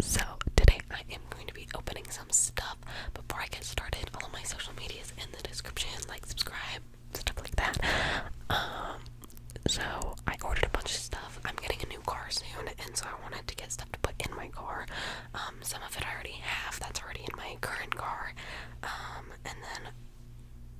so, today I am going to be opening some stuff. Before I get started, all of my social medias in the description, like subscribe, stuff like that. Um, so I ordered a bunch of stuff. I'm getting a new car soon, and so I wanted to get stuff to put in my car. Um, some of it I already have, that's already in my current car. Um, and then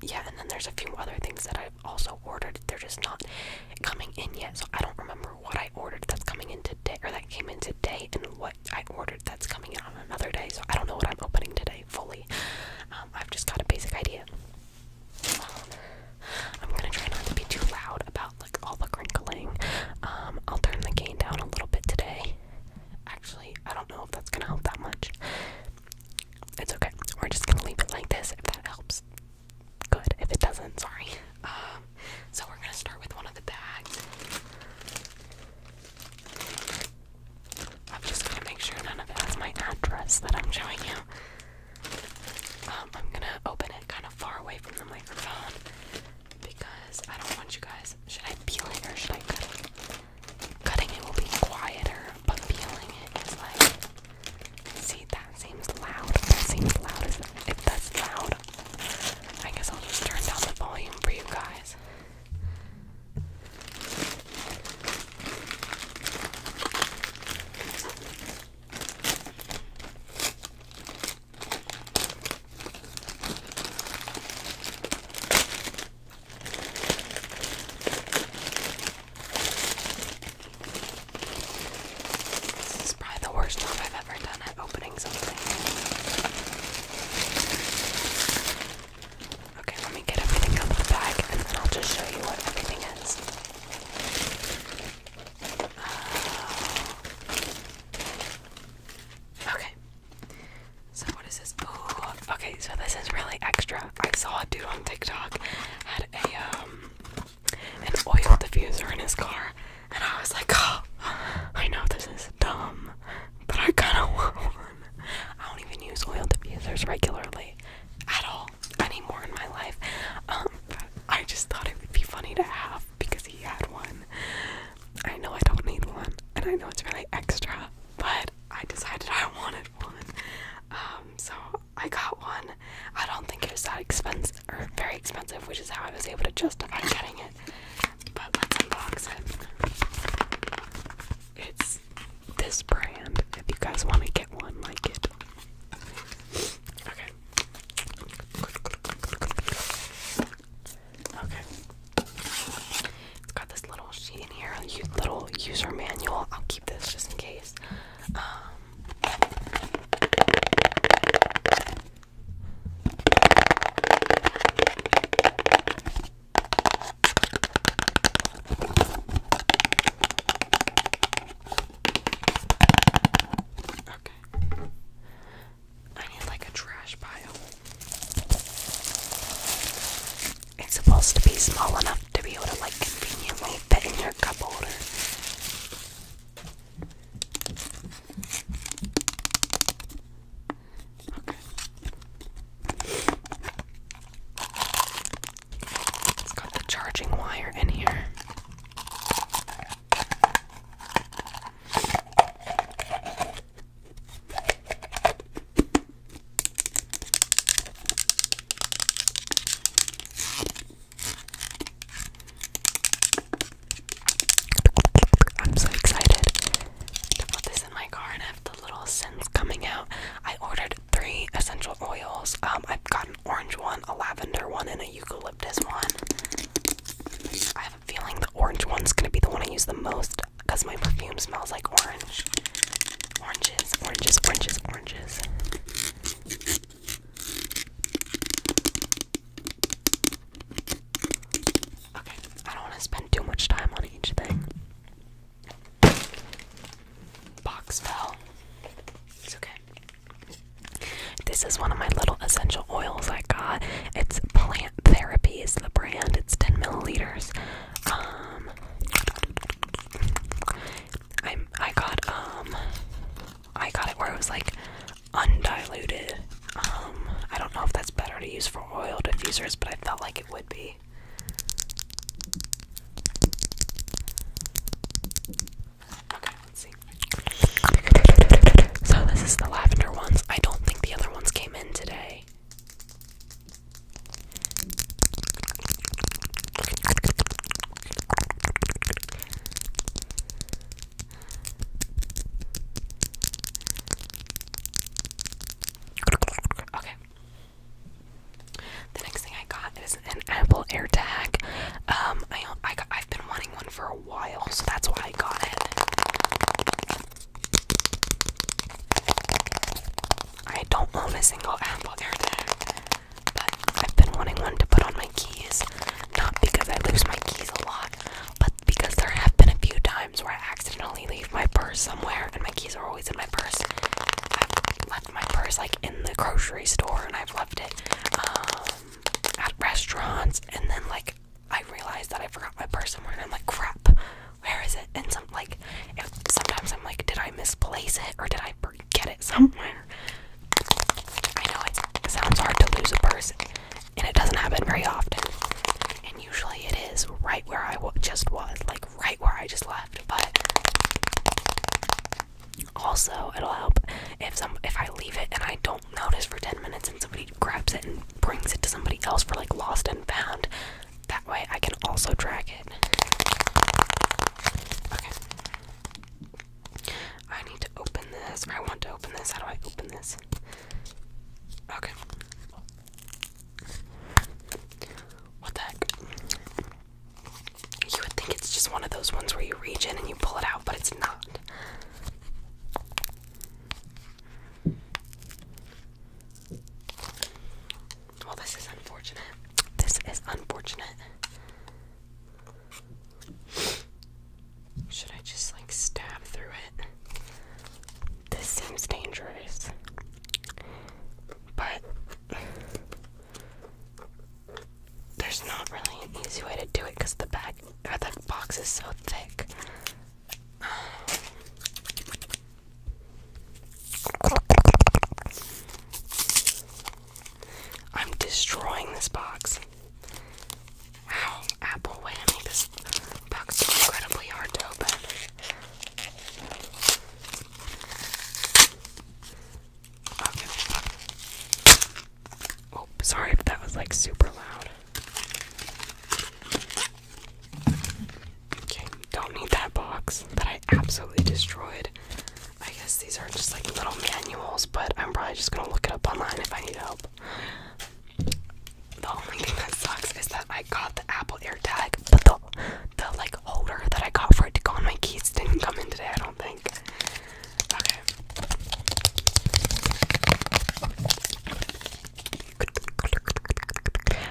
yeah, and then there's a few other things that I've also ordered. They're just not coming in yet, so I don't remember what I ordered that's coming in today, or that came in today, and what I ordered that's coming in on another day. So I don't know what I'm opening today fully. Um, I've just got a basic idea. I'm gonna try not to be too loud about like all the crinkling. Um, I'll turn the gain down a little bit today. Actually, I don't know if that's gonna help that much. It's okay. We're just gonna leave it like this if that helps good. If it doesn't, sorry. Um, so we're gonna start with one of the bags. I'm just gonna make sure none of it has my address that I'm showing you. Um, I'm gonna open it kind of far away from the microphone because I don't want you guys. Should I peel it or should I cut it? Cutting it will be quieter, but peeling it is like See, that seems loud. That seems loud. If that's loud, I guess I'll just turn down the volume for you guys. This is probably the worst job I've ever done at opening something. Okay, let me get everything out of the bag and then I'll just show you what everything is. Uh, okay. So what is this? okay, so this is really extra. I saw a dude on TikTok had a um, an oil diffuser in his car and I was like, oh, I know this is dumb, but I kinda want one. I don't even use oil diffusers regularly at all anymore in my life. Um I just thought it would be funny to have because he had one. I know I don't need one and I know it's really extra, but I decided I wanted um, so I got one. I don't think it was that expensive or very expensive, which is how I was able to justify getting it. But let's unbox it. It's this brand. If you guys want to get one, like it. Okay. Okay. It's got this little little sheet in here, a little user manual. I'll keep this just in case. Um, okay. I need like a trash pile. It's supposed to be small enough to be able to like conveniently fit in your cup holder. Okay. It's the charging wire in here. I'm so excited to put this in my car and have the little scents coming out. I ordered three essential oils. Um, I've got an orange one, a lavender one, and a eucalyptus one. I have a feeling the orange one's gonna be the one I use the most because my perfume smells like orange. Oranges, oranges, oranges, oranges. Okay, I don't want to spend too much time on each thing. Box fell. It's okay. This is one of my little essential oils I got. It's Plant Therapy is the brand. It's 10 milliliters. Um, I I got um I got it where it was like undiluted. Um I don't know if that's better to use for oil diffusers, but I felt like it would be. So this is the lavender ones. I don't think the other ones came in today. Okay. The next thing I got is an Apple AirTag. Um, I, I've been wanting one for a while, so that's why I got it. I don't own a single Apple AirTag, but I've been wanting one to put on my keys. Not because I lose my keys a lot, but because there have been a few times where I accidentally leave my purse somewhere, and my keys are always in my purse. I've left my purse like in the grocery store, and I've left it um, at restaurants, and then like I realized that I forgot my purse somewhere, and I'm like, crap where is it? And some like, sometimes I'm like, did I misplace it or did I forget it somewhere? I know it's, it sounds hard to lose a purse, and it doesn't happen very often. And usually it is right where I w just was, like right where I just left. But also, it'll help if some if I leave it and I don't notice for ten minutes, and somebody grabs it and brings it to somebody else for like lost and found. That way I can also drag it. Okay. I need to open this. Or I want to open this. How do I open this? Okay. What the heck? You would think it's just one of those ones where you reach in and you pull it out, but it's not. Well, this is unfortunate. This is unfortunate. Should I just like stab through it? This seems dangerous. But there's not really an easy way to do it because the bag or the box is so thick. I'm destroying this box. Wow, Apple whammy. This box is incredibly hard to open. Oh, sorry if that was like super loud don't need that box that I absolutely destroyed. I guess these are just like little manuals, but I'm probably just gonna look it up online if I need help. The only thing that sucks is that I got the Apple AirTag, but the the like holder that I got for it to go on my keys didn't come in today. I don't think. Okay.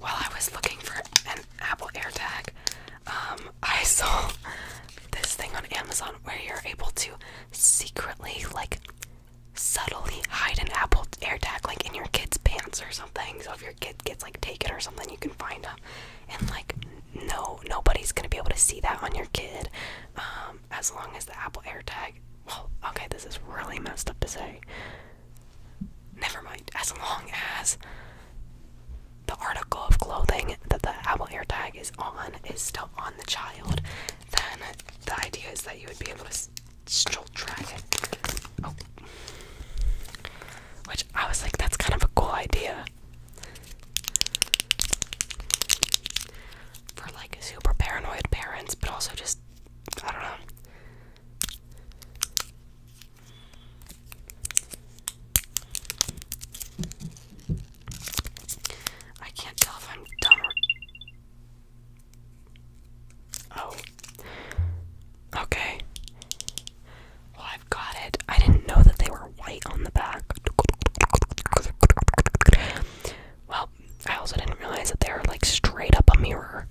While I was looking for an Apple AirTag, um, I saw this thing on Amazon where you're able to secretly, like, subtly hide an Apple AirTag, like in your kid's pants or something. So if your kid gets like taken or something, you can find them, and like no, nobody's gonna be able to see that on your kid, um, as long as the Apple AirTag. Well, okay, this is really messed up to say. Never mind, as long as the article of clothing that the Apple AirTag is on is still on the child, then the idea is that you would be able to still track it. Oh. Which I was like, that's kind of a cool idea. For like super paranoid parents, but also just, I don't know. I can't tell if I'm dumb or. Oh. Okay. Well, I've got it. I didn't know that they were white on the back. Well, I also didn't realize that they're like straight up a mirror.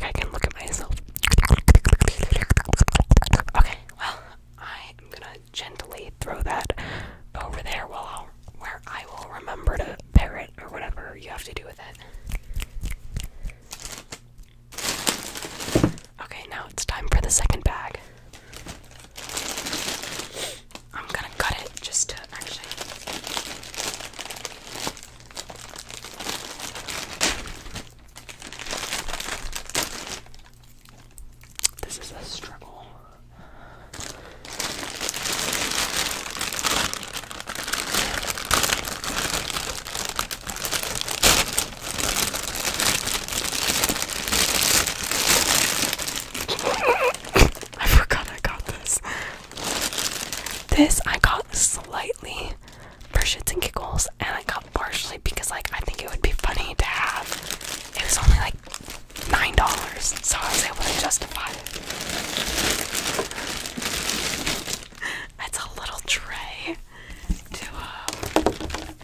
I can look at myself. Okay, well, I'm gonna gently throw that over there where I will remember to pair it or whatever you have to do with it. Okay, now it's time for the second bag. I'm gonna cut it just to actually. This is a struggle. I forgot I got this. This I got slightly for shits and giggles, and I got partially because like I think it would be funny to have. It was only like nine dollars, so I was able to justify it. It's a little tray to um,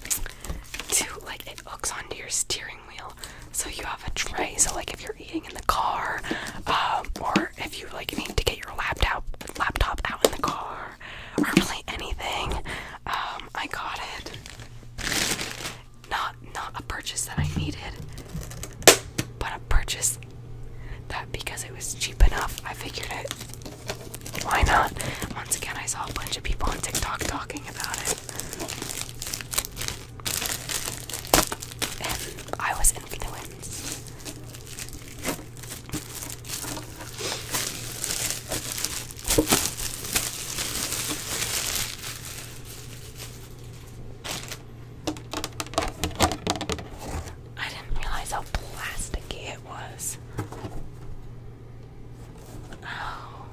to like it hooks onto your steering wheel, so you have a tray. So like if you're eating in the car, um, or if you like need to get your laptop laptop out in the car, or really anything. Um, I got it. Not not a purchase that I needed, but a purchase that because it was cheap enough, I figured it. Why not? Once again, I saw a bunch of people on TikTok talking about it. And I was influenced. I didn't realize how plasticky it was. Oh,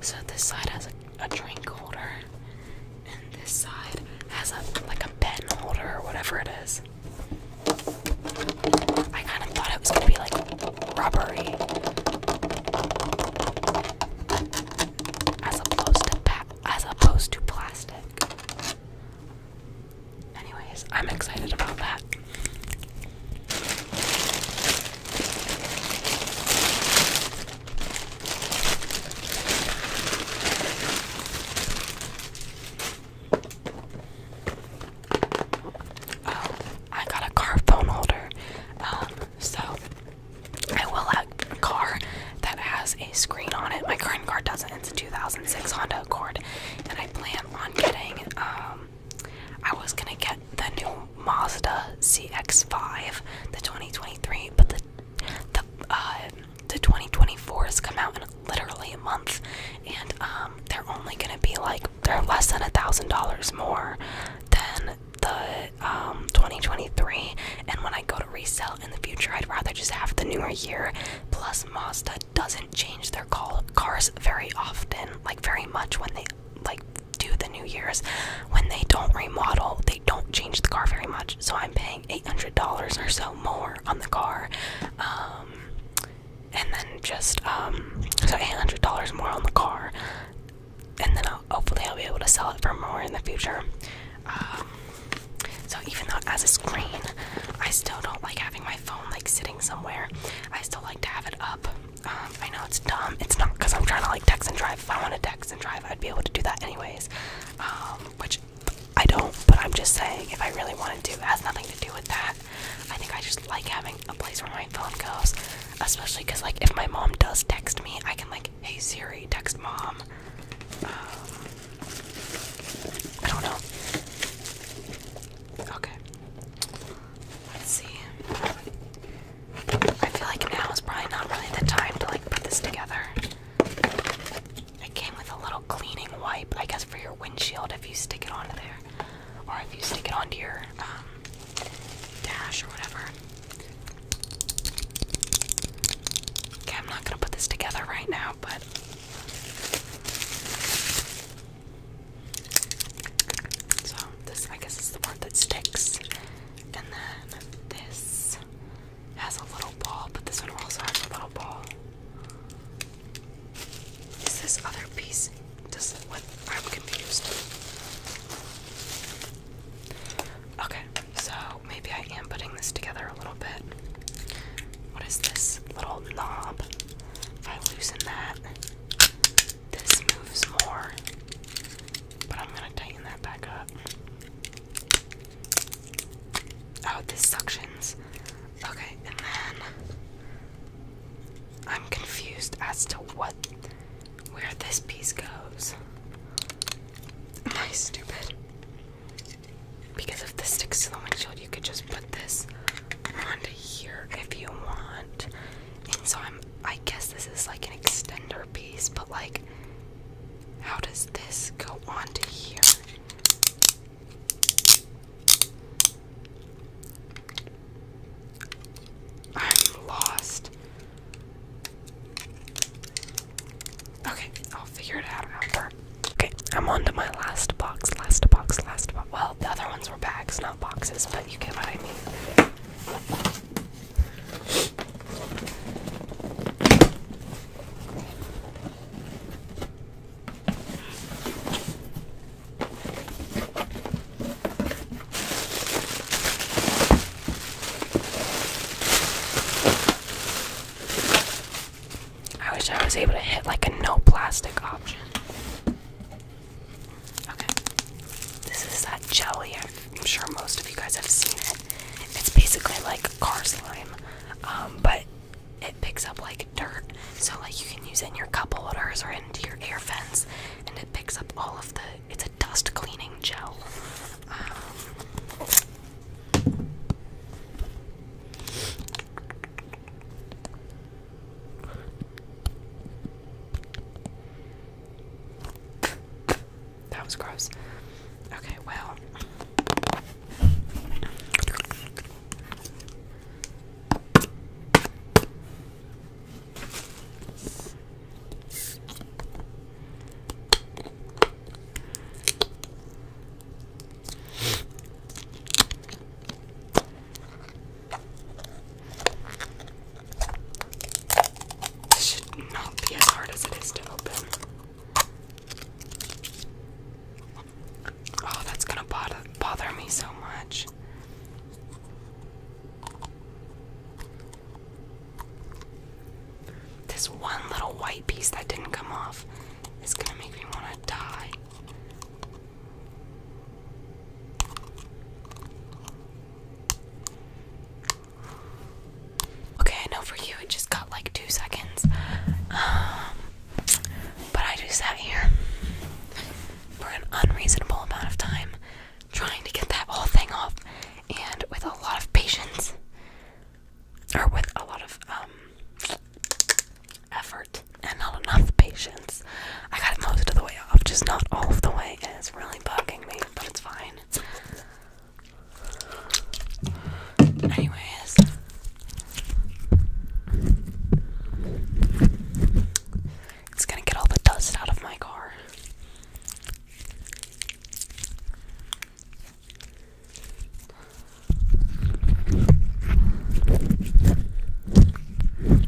so this side has a a drink holder, and this side has a like a pen holder or whatever it is. I kind of thought it was gonna be like rubbery, as opposed to as opposed to plastic. Anyways, I'm excited about that. Oh, I got a car phone holder. Um, so I will have a car that has a screen on it. My current car doesn't. It's a 2006 Honda Accord, and I plan on getting. Um, I was gonna get the new Mazda CX-5, the 2023, but the the uh, the 2024 has come out in literally a month, and um, they're only gonna be like they're less than a thousand dollars more than the um 2023. And when I go to resell in the future, I'd rather just have the newer year. Plus, Mazda doesn't change their call cars very often, like very much when they like do the new years when they don't remodel they don't change the car very much, so I'm paying $800 or so more on the car. Um, and then just um, so $800 more on the car, and then hopefully I'll be able to sell it for more in the future. Um, so even though as a screen, I still don't like having my phone like sitting somewhere. I still like to have it up. I know it's dumb. It's not because I'm trying to like text and drive. If I wanted to text and drive, I'd be able to do that anyways. Um, which I don't, but I'm just saying if I really wanted to, it has nothing to do with that. I think I just like having a place where my phone goes, especially because like if my mom does text me, I can like, hey Siri, text mom. Um, I don't know. Okay. Let's see. I feel like now is probably not really the time to like put this together. It came with a little cleaning wipe, I guess, for your windshield if you stick it onto there, or if you stick it onto your um, dash or whatever. Okay, I'm not gonna put this together right now, but. So, this, I guess, is the part that sticks. And then this this has a little ball, but this one also has a little ball. Is this other piece? Does what? I'm confused. Okay, so maybe I am putting this together a little bit. What is this little knob? If I loosen that, this moves more. But I'm gonna tighten that back up. Oh, this suctions. Okay, and then I'm confused as to what where this piece goes. Am I stupid? Because if this sticks to the windshield, you could just put this onto here if you want. And so I'm I guess this is like an extender piece, but like how does this go on to here? I'm lost. Okay, I'll figure it out after. Okay, I'm on to my last box, last box, last box. Well, the other ones were bags, not boxes, but you get what I mean. I wish I was able to hit like a no plastic option. Okay. This is that jelly. I'm sure most of you guys have seen it. It's basically like car slime, um, but it picks up like dirt. So like you can use it in your cup holders or into your air vents, and it picks up all of the. It's a dust cleaning gel. Um, that was gross. Okay, well. This should not be as hard as it is to open. Oh, that's gonna bother, bother me so much. This one little white piece that didn't come off is gonna make me wanna die. Okay, I know for you it just got like two seconds. Um, but I just sat here for an unreasonable amount of time trying to get that whole thing off and with a lot of patience or with a lot of um, effort and not enough patience. I got most of the way off, just not all of the way, and it's really bugging me but it's fine. Anyways. It's gonna get all the dust out of my car.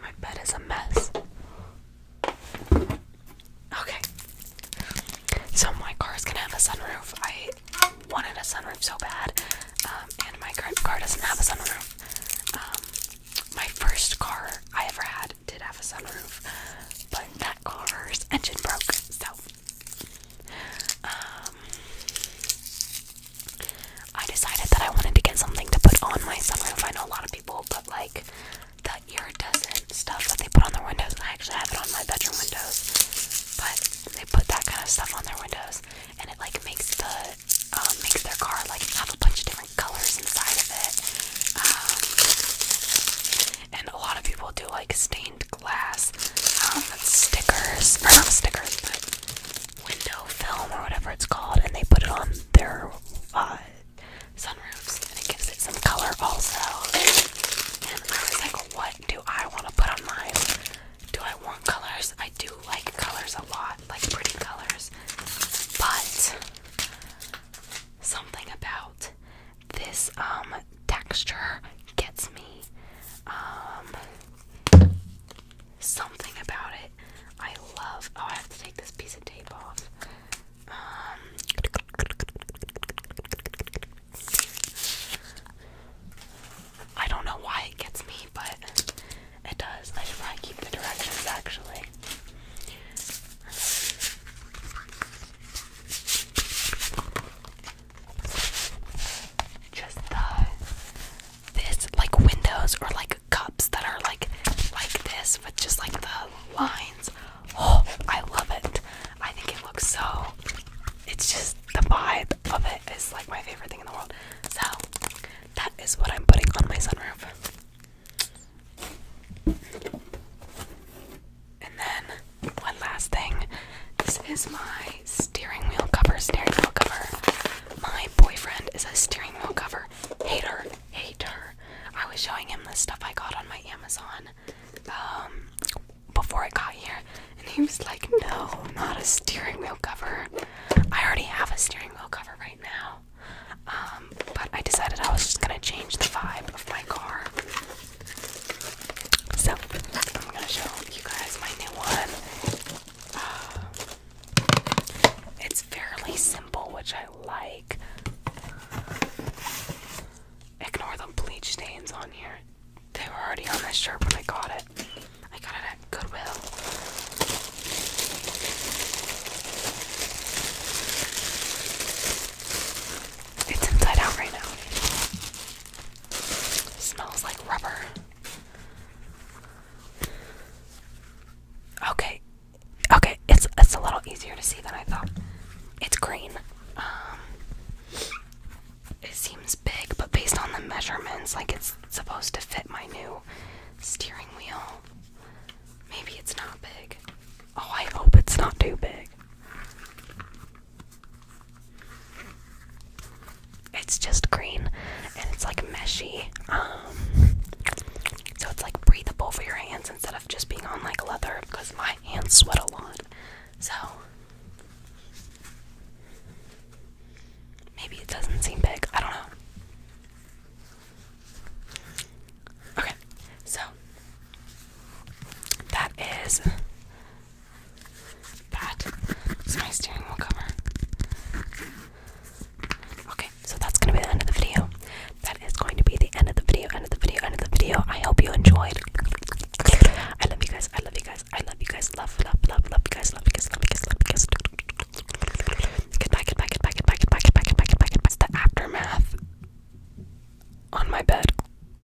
My bed is a mess. Okay. So my car is gonna have a sunroof. I wanted a sunroof so bad, um, and my current car doesn't have a sunroof. Um, my first car I ever had did have a sunroof, but that car's engine broke, so um, I decided that I wanted to get something to put on my sunroof. I know a lot of people put like the iridescent stuff that they put on their windows. I actually have it on my bedroom windows, but they put that kind of stuff on their windows, and it like makes the um, makes their car like have a bunch of different colors inside of it. Um, and a lot of people do like stain glass um, stickers, or not stickers, but window film or whatever it's called, and they put it on their uh, sunroofs, and it gives it some color also. And I was like, what do I want to put on my? Do I want colors? I do like colors a lot, like pretty colors, but something about this um texture gets me. Um, something about it I love. Oh, I have to take this piece of tape off. Um, I don't know why it gets me, but it does. I should probably keep the directions actually just the this like windows or like cups that are like like this with just like the lines. Oh, I love it. I think it looks so it's just the vibe of it is like my favorite thing in the world. So that is what I'm putting on my sunroof. And then one last thing. This is my steering wheel cover, steering wheel cover. My boyfriend is a steering wheel cover hater, hater. I was showing him the stuff I got on my Amazon um, before I got here, and he was like, No, not a steering wheel cover. I already have a steering wheel cover right now. Um, but I decided I was just gonna change the vibe of my car so I'm gonna show you guys my new one. Uh, it's fairly simple, which I like. Ignore the bleach stains on here. They were already on this shirt when I got it. I got it at Goodwill. It's inside out right now. Smells like rubber. Okay. Okay, it's it's a little easier to see than I thought. It's green. Um it seems big, but based on the measurements, like it's supposed to fit my new steering wheel. Maybe it's not big. Oh, I hope it's not too big. It's just green and it's like meshy. Um, so it's like breathable for your hands instead of just being on like leather because my hands sweat a lot. So maybe it doesn't seem big. I don't know. Okay, so that is Pat, it's my steering wheel cover. Okay, so that's gonna be the end of the video. That is going to be the end of the video, end of the video, end of the video. I hope you enjoyed. I love you guys, I love you guys, I love you guys, love, love, love, love you guys, love you guys, love you guys, love you guys. Goodbye, goodbye, goodbye, goodbye, goodbye, goodbye, goodbye, goodbye, goodbye. It's the aftermath on my bed.